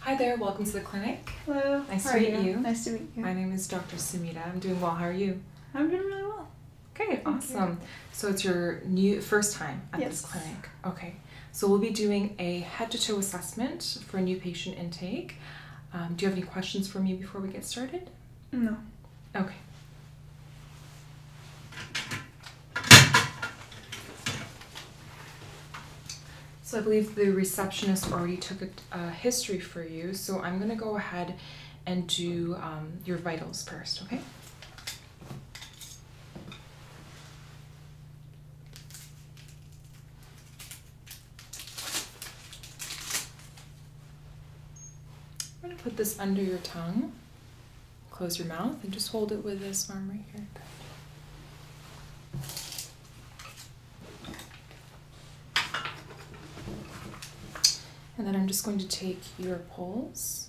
Hi there, welcome to the clinic. Hello. Nice to meet you? Nice to meet you. My name is Dr. Sumita. I'm doing well. How are you? I'm doing really well. Okay, awesome. So it's your new first time at this clinic. Okay. So we'll be doing a head to toe assessment for new patient intake. Um, do you have any questions for me before we get started? No. Okay. So I believe the receptionist already took a, history for you, so I'm going to go ahead and do um, your vitals first, okay? I'm going to put this under your tongue. Close your mouth and just hold it with this arm right here. And then I'm just going to take your poles.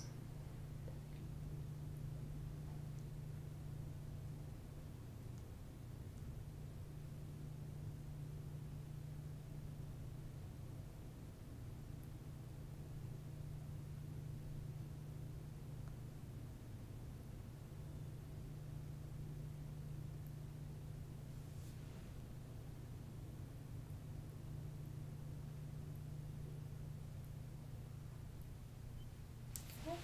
Okay.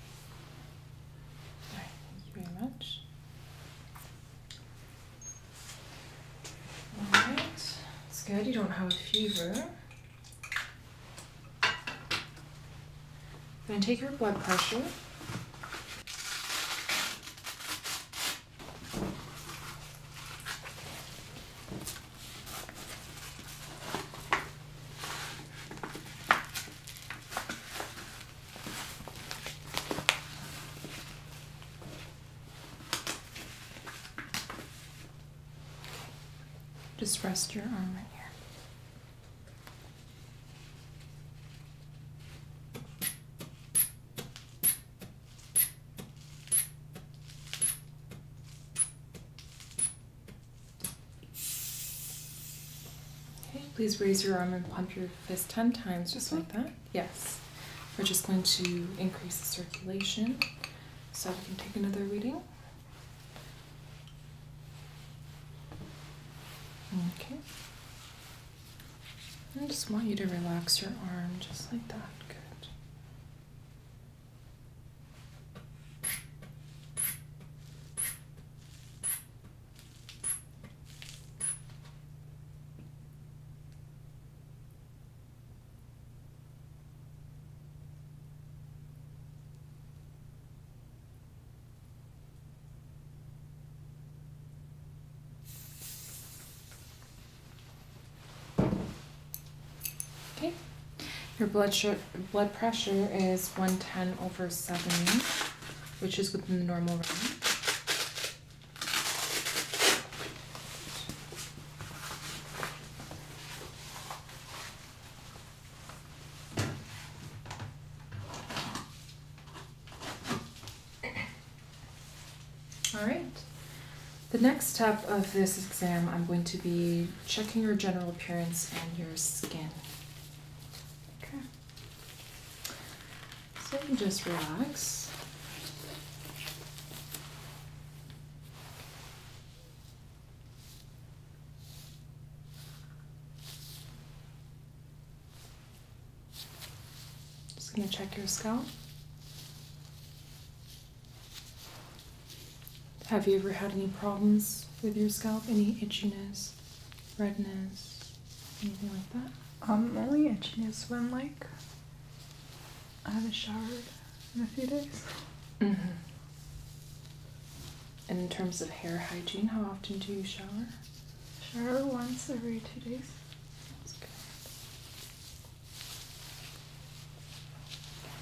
All right, thank you very much. All right, it's good. You don't have a fever. I'm going to take your blood pressure. Just rest your arm right here. Okay, please raise your arm and pump your fist 10 times, just like that. Yes. We're just going to increase the circulation. So we can take another reading. Okay. I just want you to relax your arm just like that. Good. Okay, your blood, blood pressure is 110 over 70, which is within the normal range. All right. The next step of this exam, I'm going to be checking your general appearance and your skin. So just relax. Just going to check your scalp. Have you ever had any problems with your scalp? Any itchiness, redness, anything like that? i Um, only itchiness when like I haven't showered in a few days. Mm -hmm in terms of hair hygiene, how often do you shower? Shower once every two days. That's good.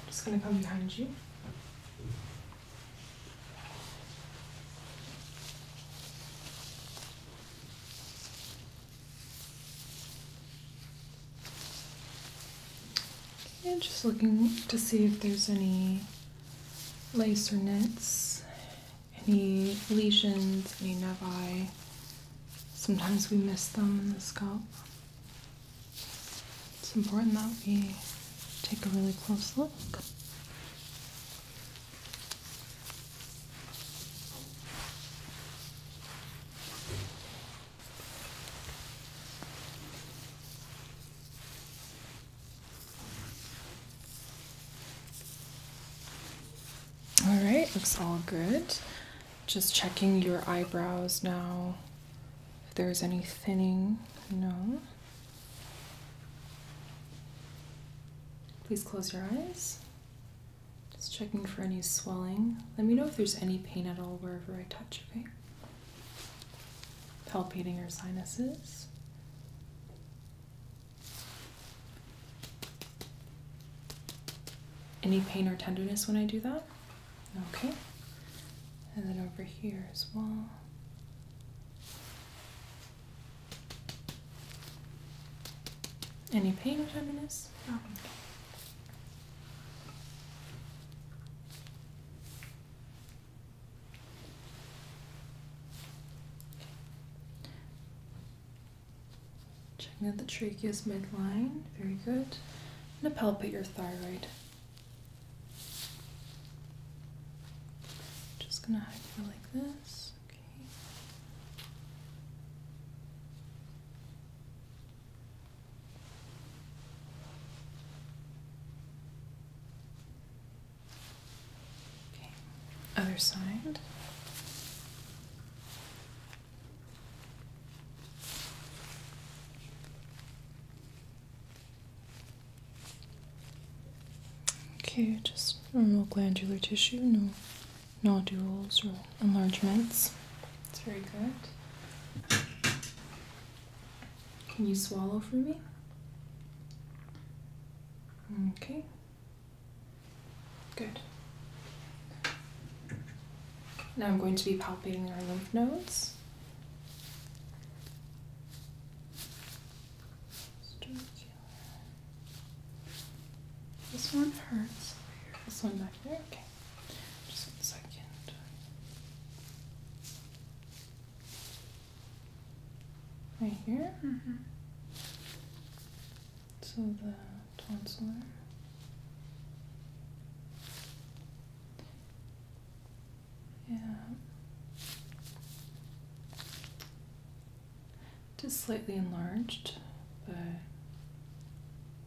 just gonna come behind you. Okay, just looking to see if there's any Lacerations, any lesions, any nevi. Sometimes we miss them in the scalp. It's important that we take a really close look. All right, looks all good. Just checking your eyebrows now. If there's any thinning, no. Please close your eyes. Just checking for any swelling. Let me know if there's any pain at all wherever I touch, okay? palpating your sinuses. Any pain or tenderness when I do that? Okay. And then over here as well. Any pain or tenderness? Checking out the trachea's midline, very good. I'm going palpate your thyroid. Just gonna hide you like this. Okay other side. Okay, just normal glandular tissue, no nodules or enlargements. That's very good. Can you swallow for me? Okay. Good. Now I'm going to be palpating our lymph nodes. This one hurts. This one back there. Okay. Just a second. Right here? Mm So the tonsil. Yeah. Just slightly enlarged, but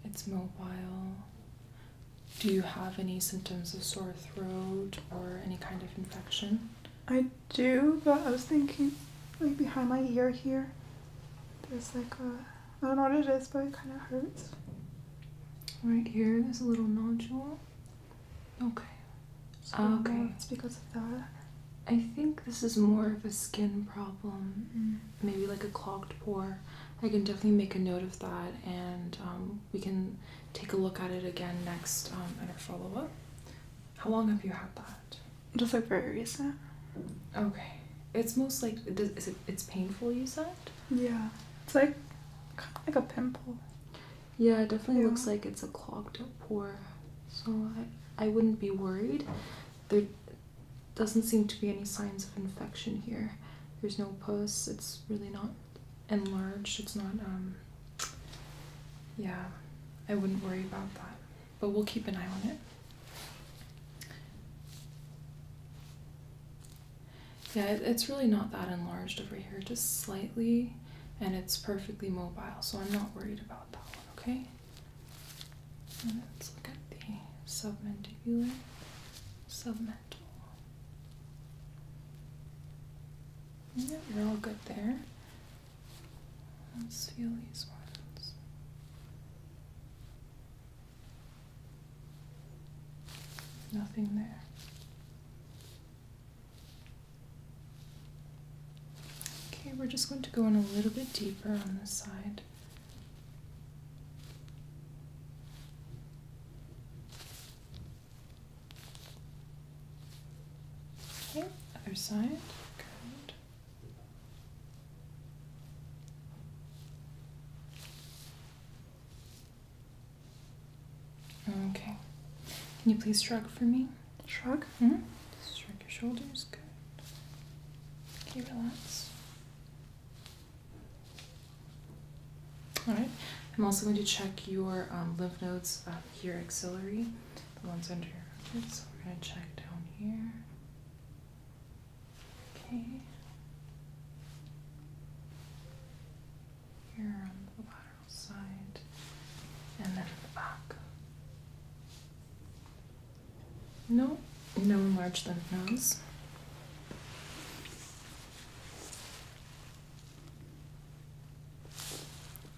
it's mobile. Do you have any symptoms of sore throat or any kind of infection? I do, but I was thinking like behind my ear here. There's like a I don't know what it is, but it kinda hurts. Right here, there's a little nodule. Okay. So okay. It's because of that. I think this is more of a skin problem, mm. maybe like a clogged pore. I can definitely make a note of that and um, we can take a look at it again next in um, our follow up. How long have you had that? Just like very recent. Okay. It's most like is it, it's painful. You said. Yeah. It's like kind of like a pimple. Yeah, it definitely looks like it's a clogged up pore. So I I wouldn't be worried. There doesn't seem to be any signs of infection here. There's no pus. It's really not enlarged. It's not, um, yeah, I wouldn't worry about that. But we'll keep an eye on it. Yeah, it's really not that enlarged over here, just slightly, and it's perfectly mobile, so I'm not worried about that one, okay? let's look at the submandibular, submental. Yeah, you're all good there. Let's feel these ones. Nothing there. Okay, we're just going to go in a little bit deeper on this side. Okay, other side. Good. Okay. Can you please shrug for me? Shrug? hmm? shrug your shoulders. Good. Okay, relax. All right. I'm also going to check your um, lymph nodes up here axillary, the ones under your eyes. So we're going to check down here. Okay. Here on the lateral side, and then the back. No, no enlarged lymph nodes.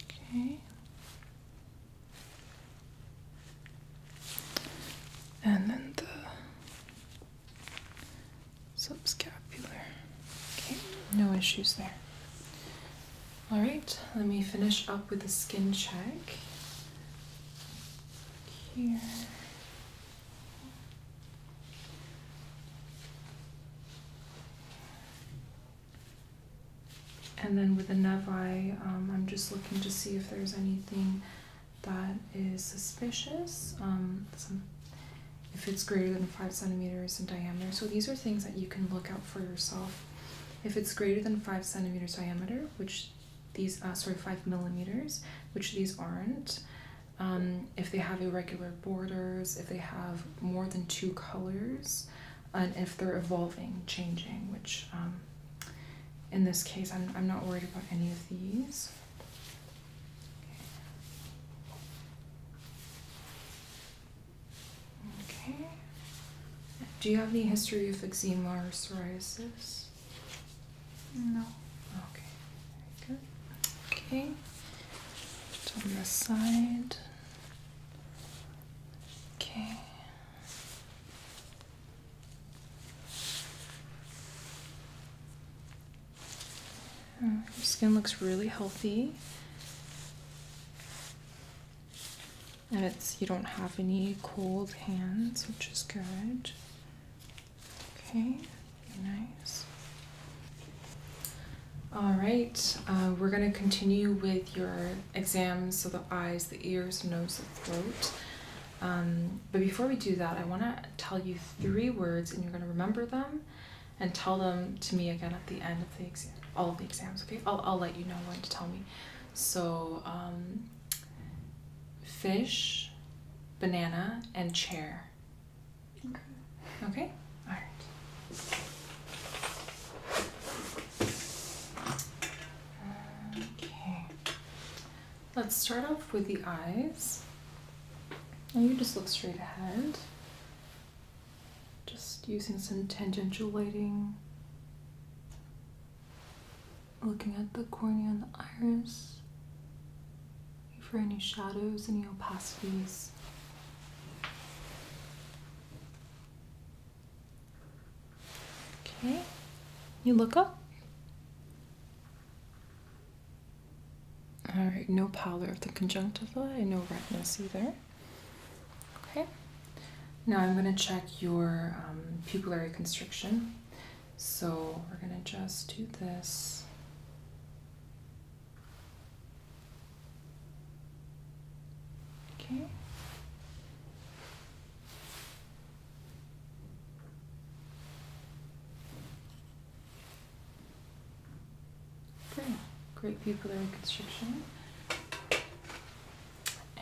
Okay. And then the subscapular. Okay, no issues there. All right, let me finish up with the skin check. Here. And then with the Nevi, um, I'm just looking to see if there's anything that is suspicious. Um, if it's greater than five centimeters in diameter. So these are things that you can look out for yourself. If it's greater than five centimeters diameter, which these, uh, sorry, five millimeters, which these aren't, um, if they have irregular borders, if they have more than two colors, and if they're evolving, changing, which um, in this case, I'm, I'm not worried about any of these. Okay. Do you have any history of eczema or psoriasis? No. Okay, very Okay. Just on the side. Okay. Uh, your skin looks really healthy. And it's you don't have any cold hands, which is good. Okay, nice. All right, uh, we're going to continue with your exams, so the eyes, the ears, nose, the throat. Um, but before we do that, I want to tell you three words, and you're going to remember them and tell them to me again at the end of the exam, all of the exams, okay? I'll, I'll let you know when to tell me. So, um, fish, banana, and chair. Okay. Okay. All right. Okay. Let's start off with the eyes. And oh, you just look straight ahead. Just using some tangential lighting. Looking at the cornea and the iris. For any shadows, any opacities. Okay, you look up. All right, no pallor of the conjunctiva and no redness either. Okay, now I'm going to check your um, pupillary constriction. So we're going to just do this. Okay. Great. Great pupillary constriction.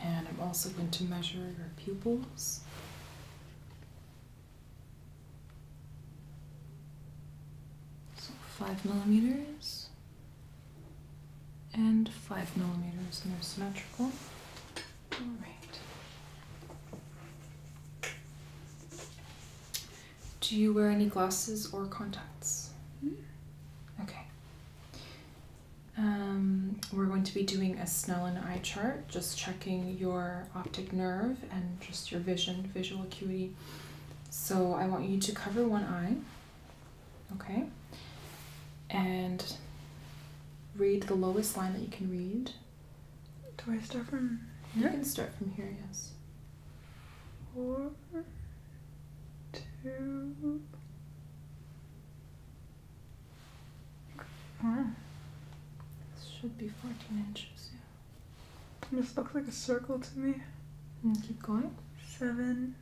And I'm also going to measure your pupils. So five millimeters and five millimeters, and they're symmetrical. All right. Do you wear any glasses or contacts? Hmm? Okay. Um, we're going to be doing a Snellen eye chart, just checking your optic nerve and just your vision, visual acuity. So I want you to cover one eye, okay, and read the lowest line that you can read. Do I start from You can start from here, yes. Four, two. This should be 14 inches. This looks like a circle to me. Mm, keep going. Seven.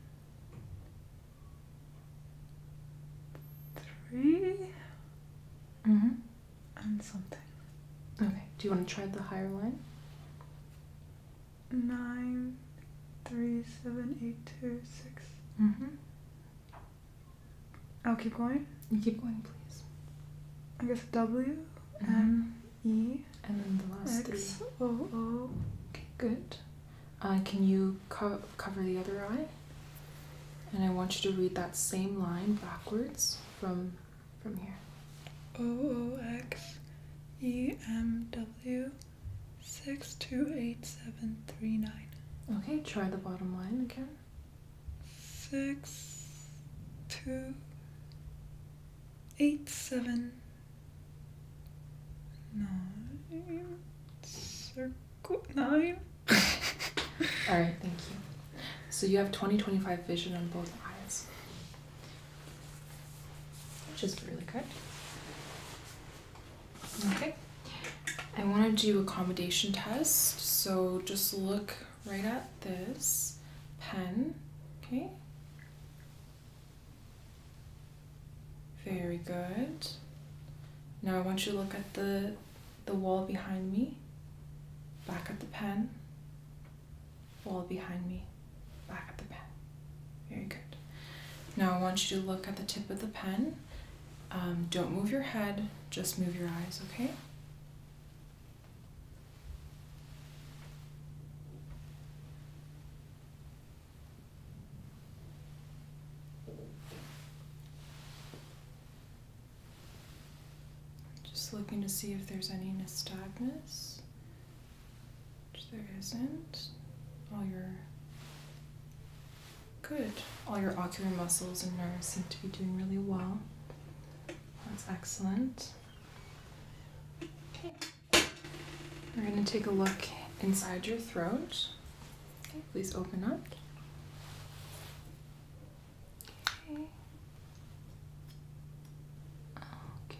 Three. Mm hmm And something. Okay. Do you want to try the higher line? Nine, three, seven, eight, two, six. Mm-hmm. I'll oh, keep going. You keep going, please. I guess W. Mm-hmm. And E and then the last X, three. O O. Okay, good. Uh, can you co cover the other eye? And I want you to read that same line backwards from from here. O O X E M W six two eight seven three nine. Okay, try the bottom line again. Six two eight seven Nine. nine. All right, thank you. So you have 20 25 vision on both eyes, which is really good. Okay. I want to do accommodation test. So just look right at this pen, okay? Very good. Now I want you to look at the, the wall behind me, back at the pen, wall behind me, back at the pen. Very good. Now I want you to look at the tip of the pen. Um, don't move your head, just move your eyes, okay? Just looking to see if there's any nystagmus, there isn't. All your good. All your ocular muscles and nerves seem to be doing really well. That's excellent. Okay. We're going to take a look inside your throat. please open up. Okay. Okay.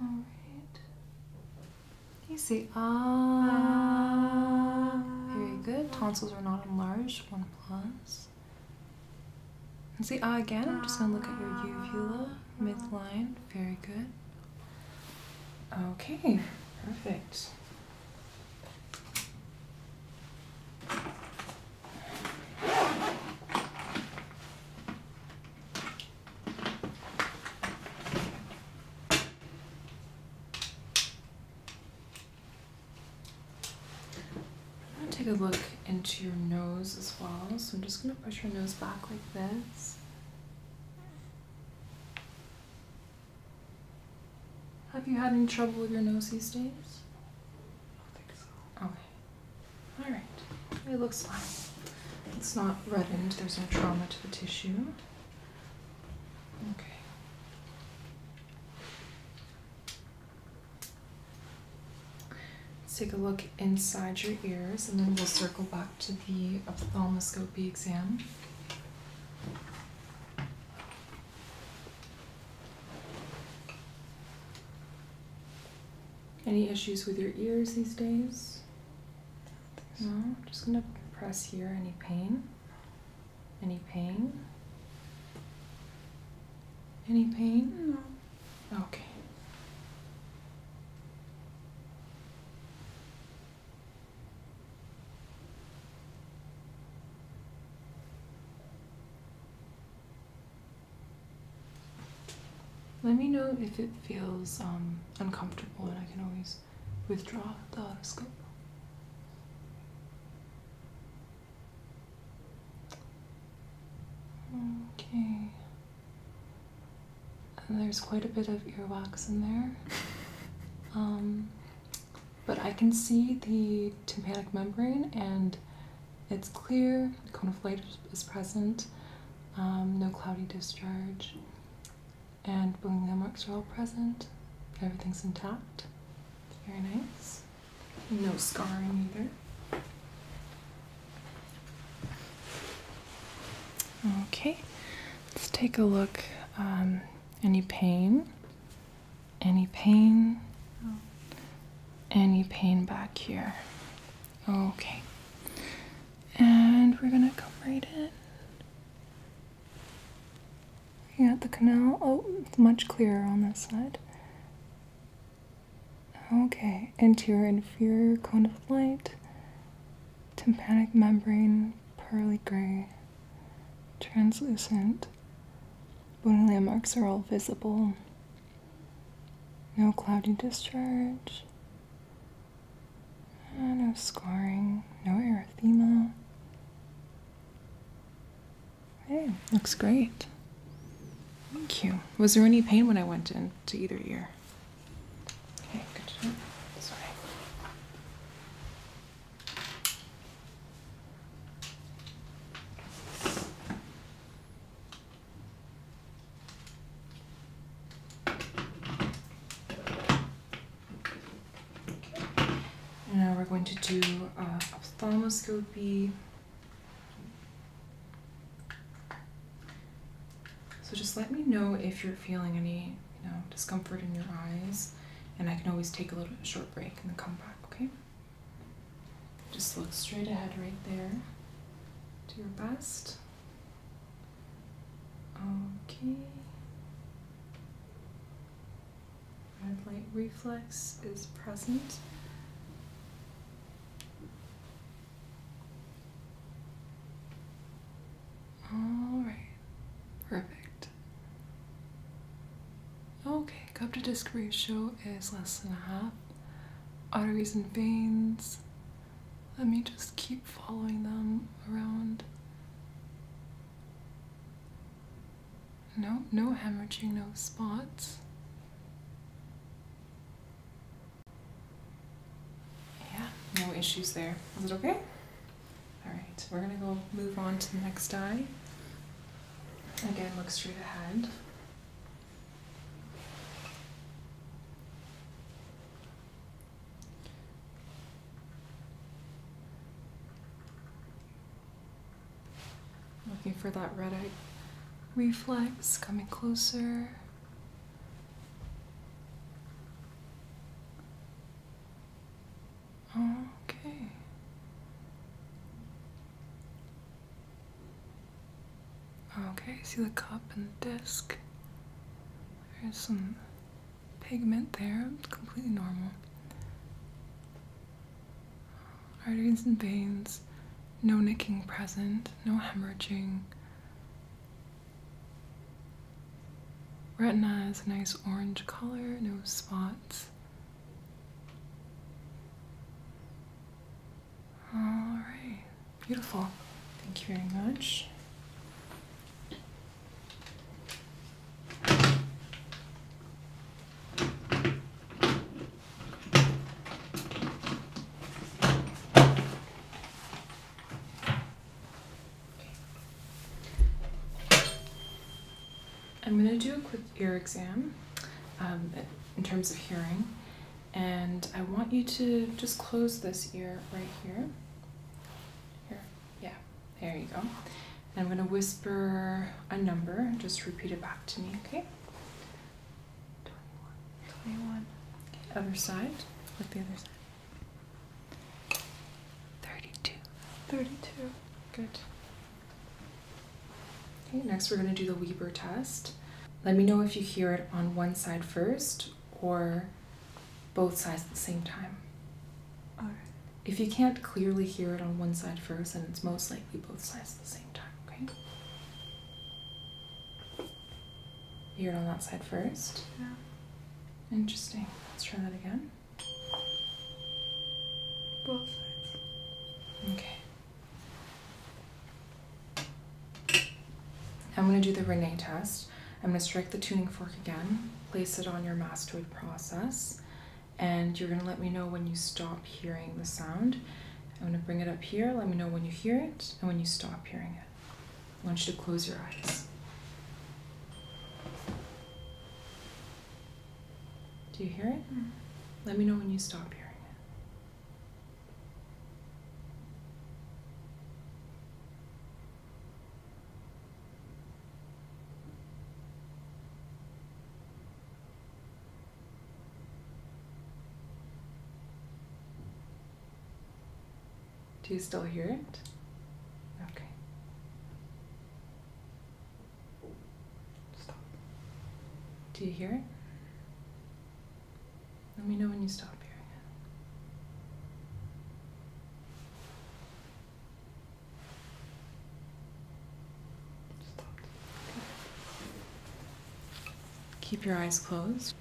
All right. See Ah. very good. Tonsils are not enlarged. One plus. see ah again. I'm just gonna look at your uvula midline. Very good. Okay. Perfect. I'm gonna take a look into your nose as well. So I'm just gonna push your nose back like this. Have you had any trouble with your nose these days? I don't think so. Okay. Alright. It looks fine. It's not reddened, there's no trauma to the tissue. Okay. Let's take a look inside your ears and then we'll circle back to the ophthalmoscopy exam. Any issues with your ears these days? No, I'm just gonna press here. Any pain? Any pain? Any pain? No. Okay. Let me know if it feels um, uncomfortable and I can always withdraw the otoscope. Okay. And there's quite a bit of earwax in there. Um, but I can see the tympanic membrane and it's clear, the cone of light is present, um, no cloudy discharge and Boolean marks are all present. Everything's intact. Very nice. No scarring either. Okay, let's take a look. Um, any pain? Any pain? No. Any pain back here? Okay. And we're gonna come right in. Yeah, the canal. Oh, much clearer on this side. Okay, anterior inferior cone of light, tympanic membrane, pearly gray, translucent. Bony landmarks are all visible. No cloudy discharge no scarring, no erythema. Okay, looks great. Thank you. Was there any pain when I went in to either ear? Okay, good job. Sorry. Now we're going to do uh, ophthalmoscopy. So just let me know if you're feeling any, discomfort in your eyes, and I can always take a little short break and then come back, okay? Just look straight ahead right there. Do your best. Okay. Red light reflex is present. All right, perfect. Okay, cup to disc ratio is less than a half. Arteries and veins. Let me just keep following them around. No, no hemorrhaging, no spots. Yeah, no issues there. Is it okay? Alright, we're gonna go move on to the next eye. Again, look straight ahead. Looking for that red eye reflex coming closer. Okay. Okay, see the cup and the disc. There's some pigment there, completely normal. Arteries and veins, no nicking present, no hemorrhaging. Retina is a nice orange color, no spots. Alright, beautiful. Thank you very much. I'm going to do a quick ear exam um, in terms of hearing, and I want you to just close this ear right here. Here. Yeah, there you go. I'm going to whisper a number. Just repeat it back to me, okay? 21. other side. Look the other side. 32. 32. Good. Okay, next we're going to do the Weber test. Let me know if you hear it on one side first or both sides at the same time. If you can't clearly hear it on one side first, and it's most likely both sides at the same time, okay? You hear it on that side first? Yeah. Interesting. Let's try that again. Both sides. Okay. I'm going to do the Renee test i I'm going to strike the tuning fork again, place it on your mastoid process, and you're going to let me know when you stop hearing the sound. I'm going to bring it up here, let me know when you hear it and when you stop hearing it. I want you to close your eyes. Do you hear it? Mm. Let me know when you stop hearing. it. Do you still hear it? Okay. Stop. Do you hear it? Let me know when you stop hearing it. Keep your eyes closed.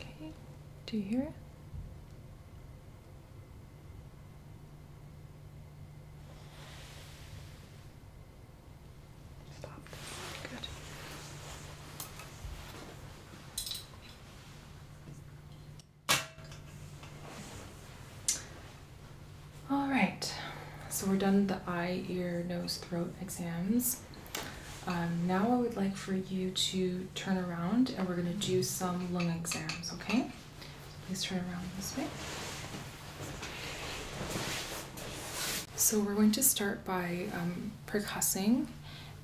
Okay, do you hear it? Stop. Good. All right, so we're done the eye, ear, nose, throat exams. Um, now I would like for you to turn around and we're gonna do some lung exams, okay? Please turn around this way. So we're going to start by um, percussing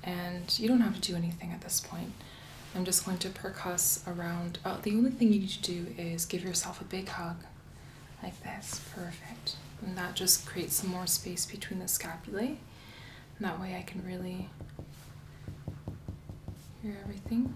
and you don't have to do anything at this point. I'm just going to percuss around. Oh, the only thing you need to do is give yourself a big hug like this. Perfect. And that just creates some more space between the scapulae. And that way I can really hear everything.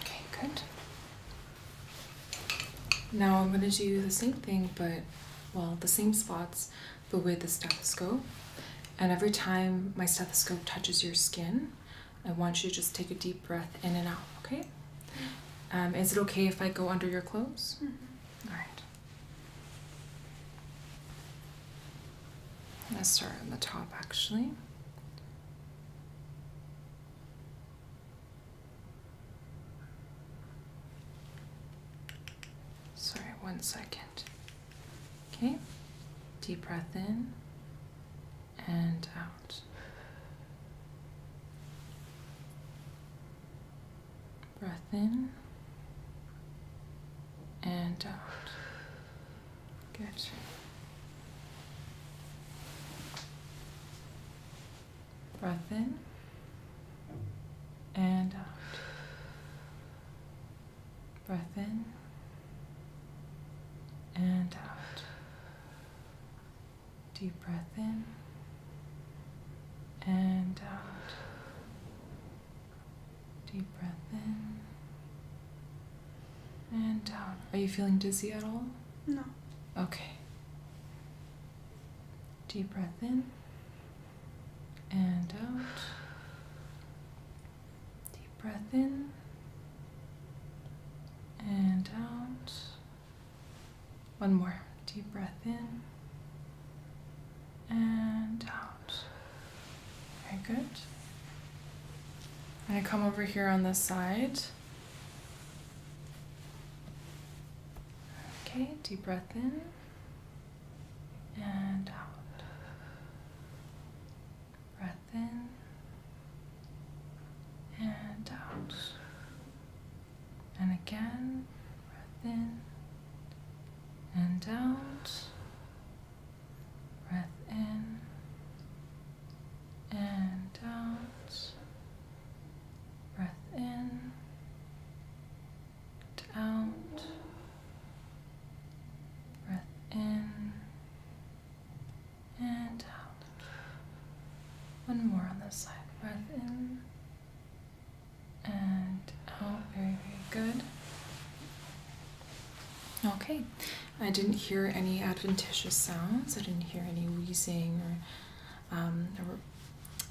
Okay, good. Now I'm going to do the same thing, but well, the same spots, but with the stethoscope. And every time my stethoscope touches your skin, I want you to just take a deep breath in and out, okay? Um, is it okay if I go under your clothes? Mm-hmm. All right. I'm going to start on the top actually. Sorry, one second. Okay, deep breath in and out. Breath in and out. Good. Breath in and out. Breath in and out. Deep breath in and out. Deep breath in and out. Are you feeling dizzy at all? No. Okay. Deep breath in and out. Deep breath in and out. One more. Deep breath in and out. Okay, good. I'm going to come over here on this side. Okay, deep breath in and out. Breath in and out. And again, breath in and out. Breath in and out. Breath in and out. Breath in and out. One more on this side. Breath in and out. Very, very good. Okay, I didn't hear any adventitious sounds. I didn't hear any wheezing or, um,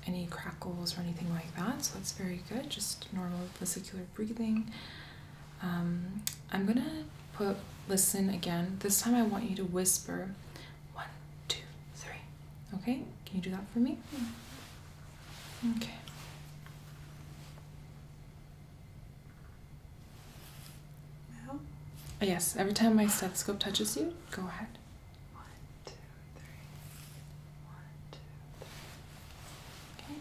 any crackles or anything like that. So that's very good. Just normal vesicular breathing. Um, I'm gonna put listen again. This time I want you to whisper one, two, three. Okay, can you do that for me? Okay. Now? Yes, every time my stethoscope touches you, go ahead. One, two, three. One, two, three.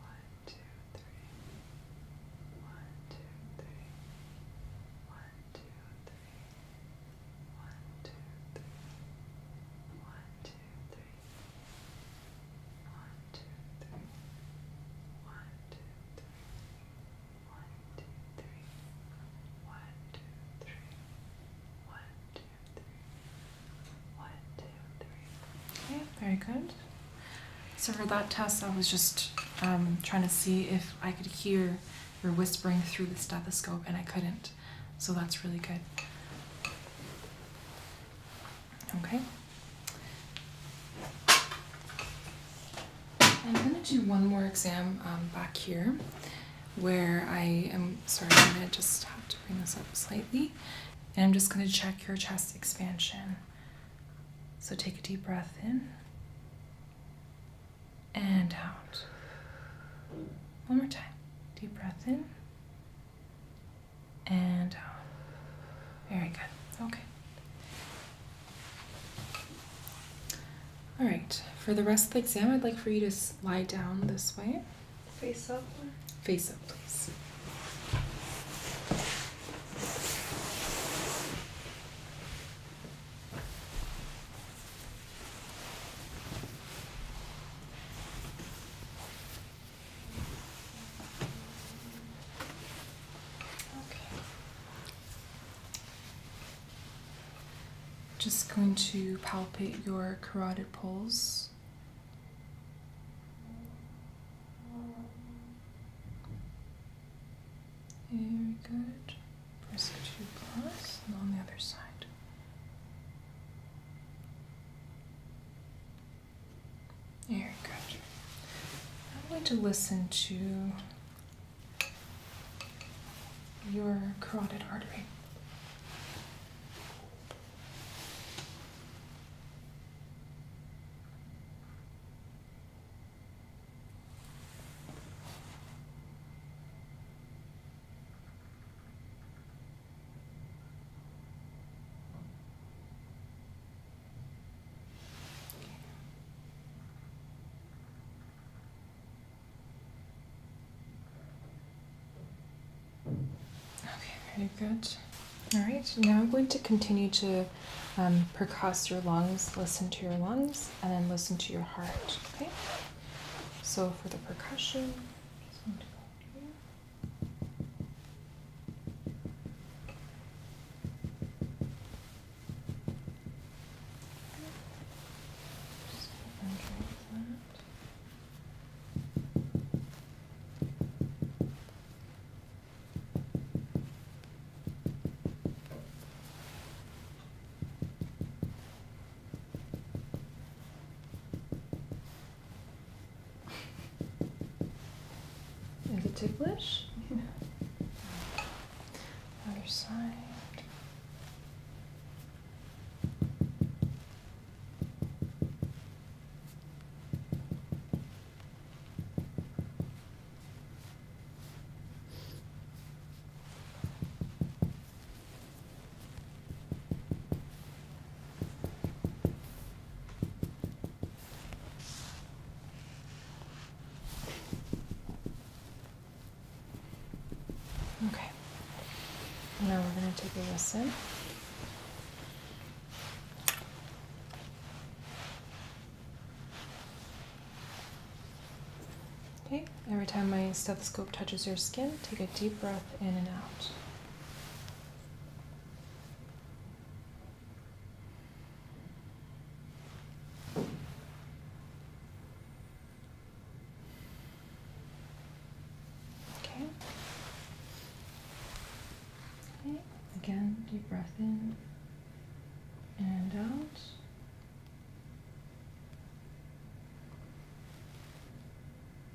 One, two, three. One, two, three. One, two, three. One, two, three. One, two, three. One, two, three. One, two, three. One, two, three. One, two, three. One, two, three. One, two, three. Okay, very good. So for that test, I was just um, trying to see if I could hear your whispering through the stethoscope, and I couldn't. So that's really good. Okay. I'm going to do one more exam um, back here where I am, sorry, I'm going to just have to bring this up slightly. And I'm just going to check your chest expansion. So take a deep breath in and out. One more time. Deep breath in and out. Very good. Okay. All right. For the rest of the exam, I'd like for you to lie down this way. Face up. Face up, please. Just going to palpate your carotid pulse. Very good. Press two plus and on the other side. Very good. I'm going to listen to your carotid artery. Okay, very good. All right, now I'm going to continue to um, percuss your lungs, listen to your lungs, and then listen to your heart, okay? So for the percussion, just want to go here. Just have a control of that. Okay. Is it ticklish? Yeah. Other side. Okay. Now we're going to take a listen. Okay, Every time my stethoscope touches your skin, take a deep breath in and out. Okay. Okay. Again, deep breath in and out.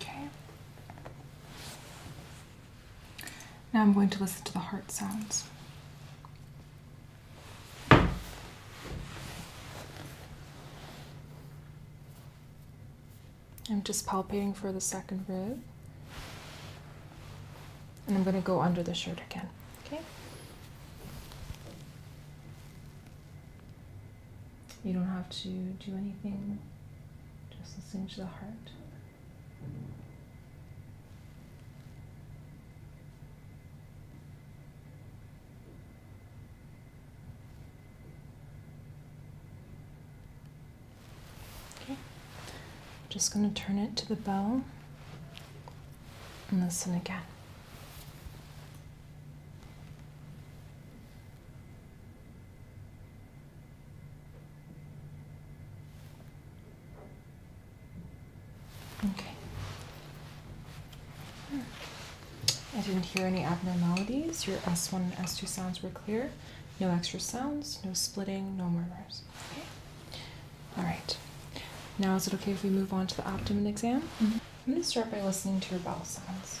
Okay. Now I'm going to listen to the heart sounds. I'm just palpating for the second rib. And I'm going to go under the shirt again. Okay. You don't have to do anything, just listen to the heart. Okay. Just going to turn it to the bell listen again. Okay. Hmm. I didn't hear any abnormalities. Your S1 and S2 sounds were clear. No extra sounds, no splitting, no murmurs. Okay. All right. Now, is it okay if we move on to the abdomen exam? Mm-hmm. I'm going to start by listening to your bowel sounds.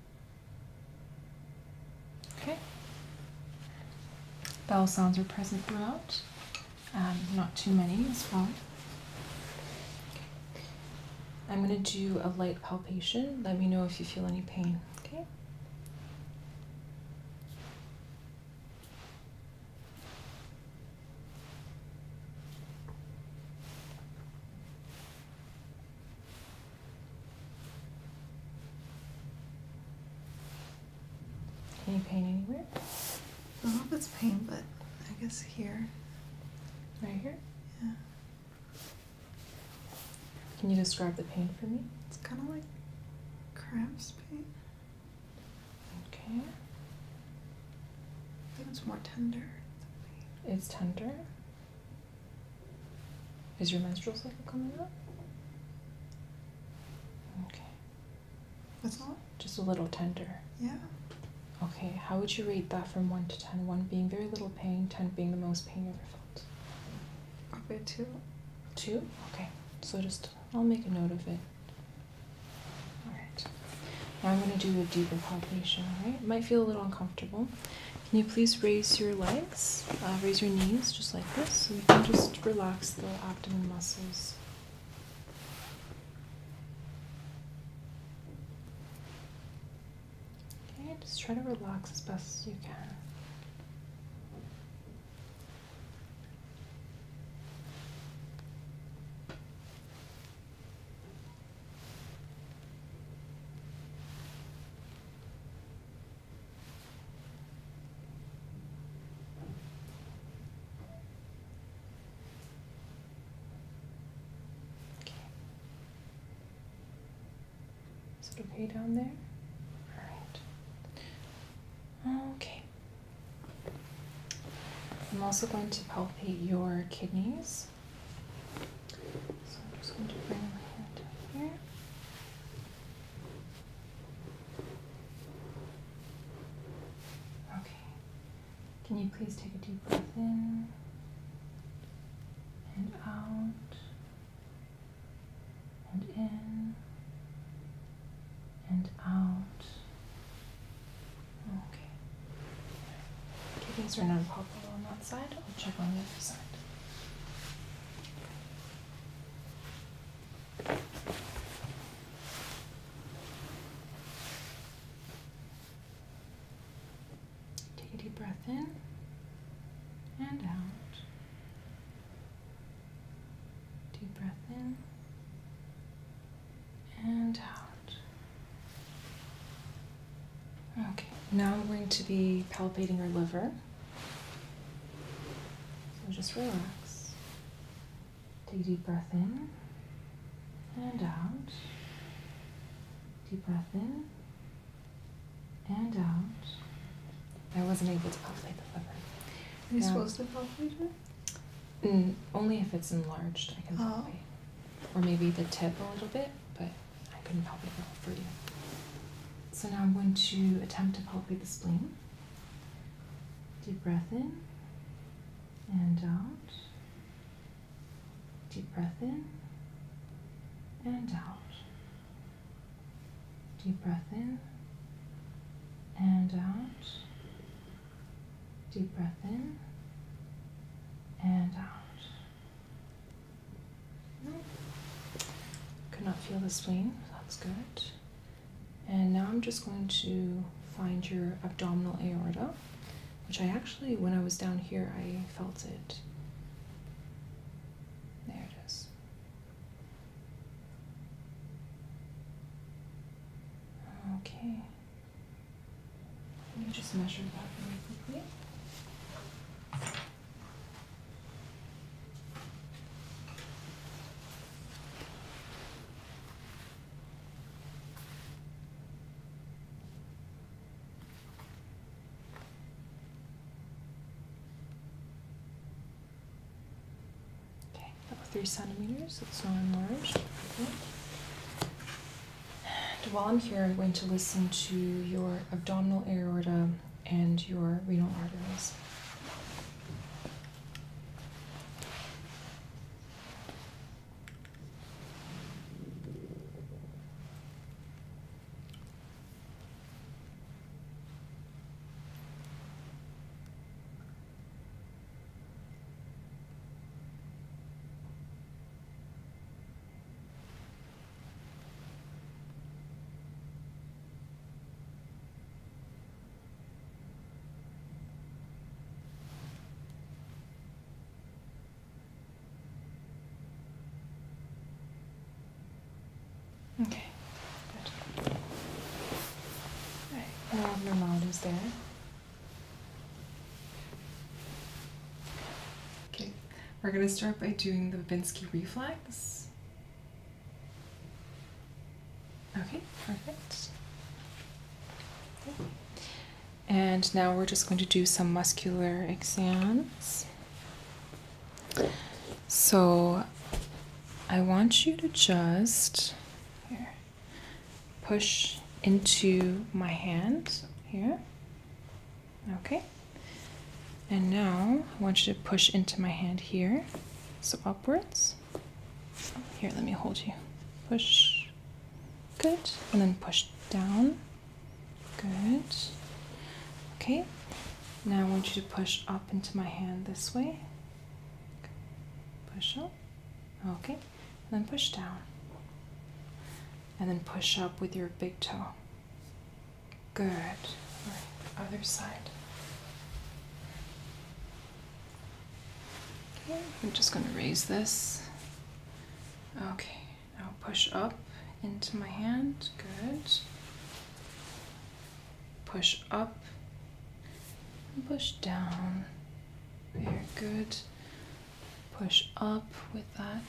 Okay. Bell sounds are present throughout. Um, not too many as well. I'm going to do a light palpation. Let me know if you feel any pain. Okay. Any pain anywhere? I don't know if it's pain, but I guess here. Right here? Yeah. Can you describe the pain for me? It's kind of like cramps pain. Okay. I think it's more tender. It's tender? Is your menstrual cycle coming up? Okay. That's all? Just a little tender. Yeah. Okay, how would you rate that from 1 to 10? 1 being very little pain, 10 being the most pain you ever felt? Probably 2. 2? Okay. So just, I'll make a note of it. Alright. Now I'm going to do a deeper palpation, alright? Might feel a little uncomfortable. Can you please raise your legs, uh, raise your knees just like this, so you can just relax the abdomen muscles. Okay, just try to relax as best as you can. Okay. Is it okay down there? Alright. Okay. I'm also going to palpate your kidneys. So I'm just going to bring my hand here. Okay. Can you please take a deep breath in and out and in and out? Okay. Okay, these are not popping on that side. I'll check on the other side. Take a deep breath in and out. Deep breath in and out. Okay, now I'm going to be palpating your liver. So just relax. Take a deep breath in and out. Deep breath in and out. I wasn't able to palpate the liver. Are you supposed to palpate it? Mm, only if it's enlarged, I can oh. palpate. Or maybe the tip a little bit, but I couldn't help it for you. So now I'm going to attempt to palpate the spleen. Deep breath in and out. Deep breath in and out. Deep breath in and out. Deep breath in and out. Could not feel the spleen, that's good. And now I'm just going to find your abdominal aorta, which I actually, when I was down here, I felt it. There it is. Okay. Let me just measure that really quickly. Okay, about three centimeters, it's not enlarged. And while I'm here, I'm going to listen to your abdominal aorta and your renal arteries. Okay, good. All right, no um, abnormalities there. Okay, we're going to start by doing the Babinski reflex. Okay, perfect. And now we're just going to do some muscular exams. So I want you to just push into my hand here. Okay. And now I want you to push into my hand here. So upwards. Here, let me hold you. Push. Good. And then push down. Good. Okay. Now I want you to push up into my hand this way. Push up. Okay. And then push down. And then push up with your big toe. Good. other side. Okay, I'm just going to raise this. Okay, now push up into my hand. Good. Push up push down. Very good. Push up with that.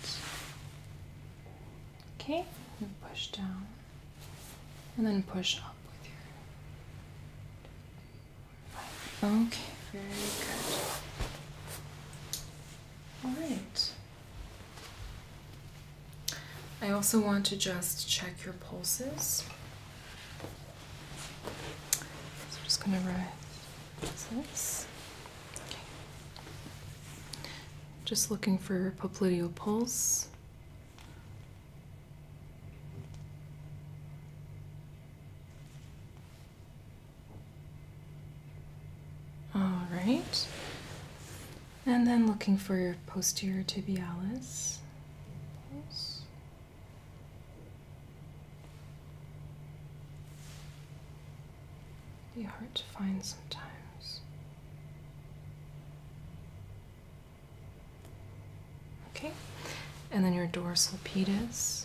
Okay, push down and then push up with your. Right. Okay, very good. All right. I also want to just check your pulses. I'm just gonna write this. Okay. Just looking for popliteal pulse. All right. And then looking for your posterior tibialis. Pulse be hard to find sometimes. Okay, and then your dorsal pedis.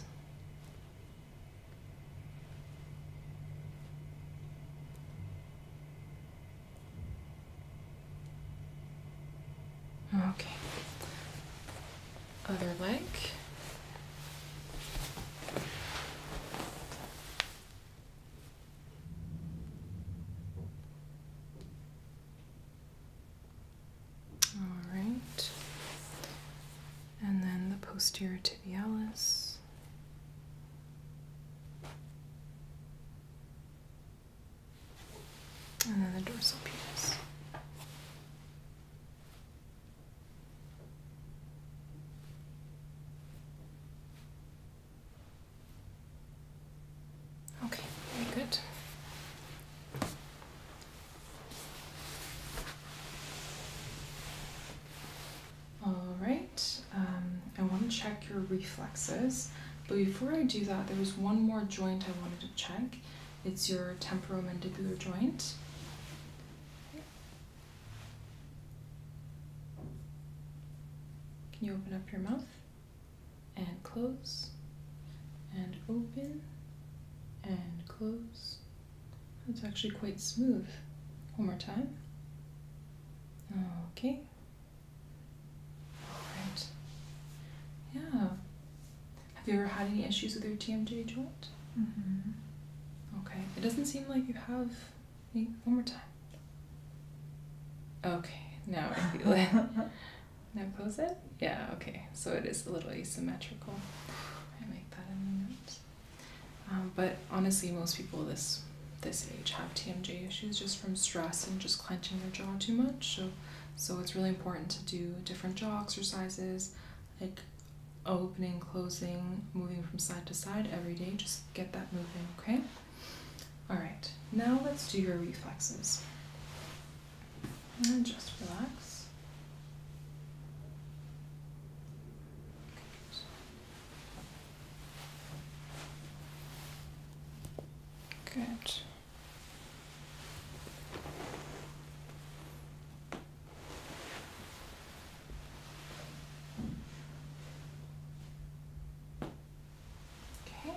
Okay, other leg. All right. And then the posterior tibialis. And then the dorsal penis. Okay, very good. All right, um, I want to check your reflexes, but before I do that, there is one more joint I wanted to check. It's your temporomandibular joint. Can you open up your mouth? And close. And open. And close. That's actually quite smooth. One more time. Okay. Alright. Yeah. Have you ever had any issues with your TMJ joint? Mm-hmm. Okay. It doesn't seem like you have Wait, one more time. Okay, now I feel it. now close it? Yeah, okay. So it is a little asymmetrical. I make that in the um, but honestly, most people this this age have TMJ issues just from stress and just clenching their jaw too much. So, so it's really important to do different jaw exercises, like opening, closing, moving from side to side every day. Just get that moving, okay? All right, now let's do your reflexes. And just relax. Good. Okay.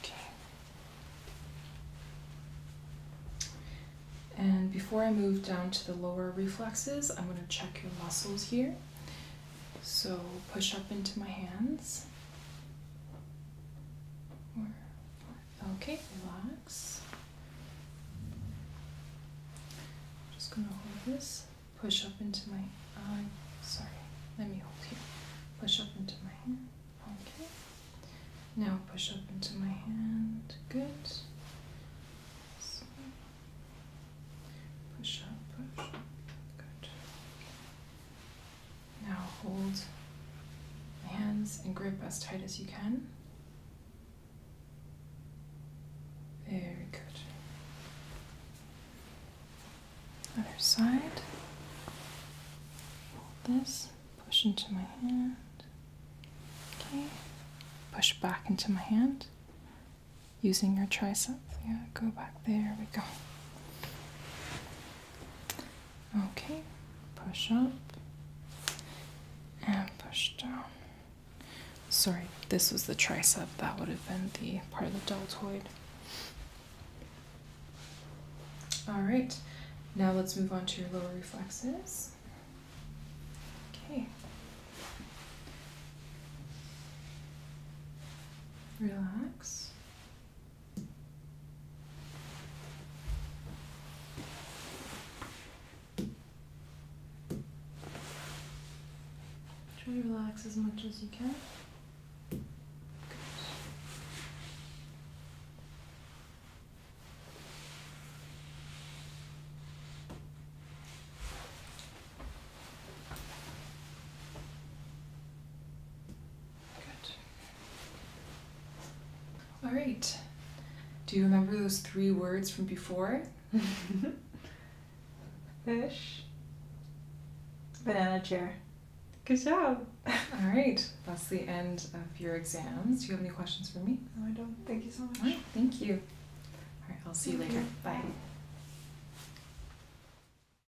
Okay. And before I move down to the lower reflexes, I'm going to check your muscles here. So push up into my hands. Okay, relax. just gonna hold this. Push up into my eye. Sorry, let me hold here. Push up into my hand. Okay. Now push up into my hand. Good. push up, push up. Good. Now hold hands and grip as tight as you can. Very good. Other side. this, push into my hand. Okay. Push back into my hand using your triceps. Yeah, go back. There we go. Okay, push up and push down. Sorry, this was the tricep, that would have been the part of the deltoid. All right, now let's move on to your lower reflexes. Okay. Relax. Try to relax as much as you can. All right. Do you remember those three words from before? Fish. Banana chair. Good job. All right. That's the end of your exams. Do you have any questions for me? No, I don't. Thank you so much. All right. Thank you. All right. I'll see you later. Bye.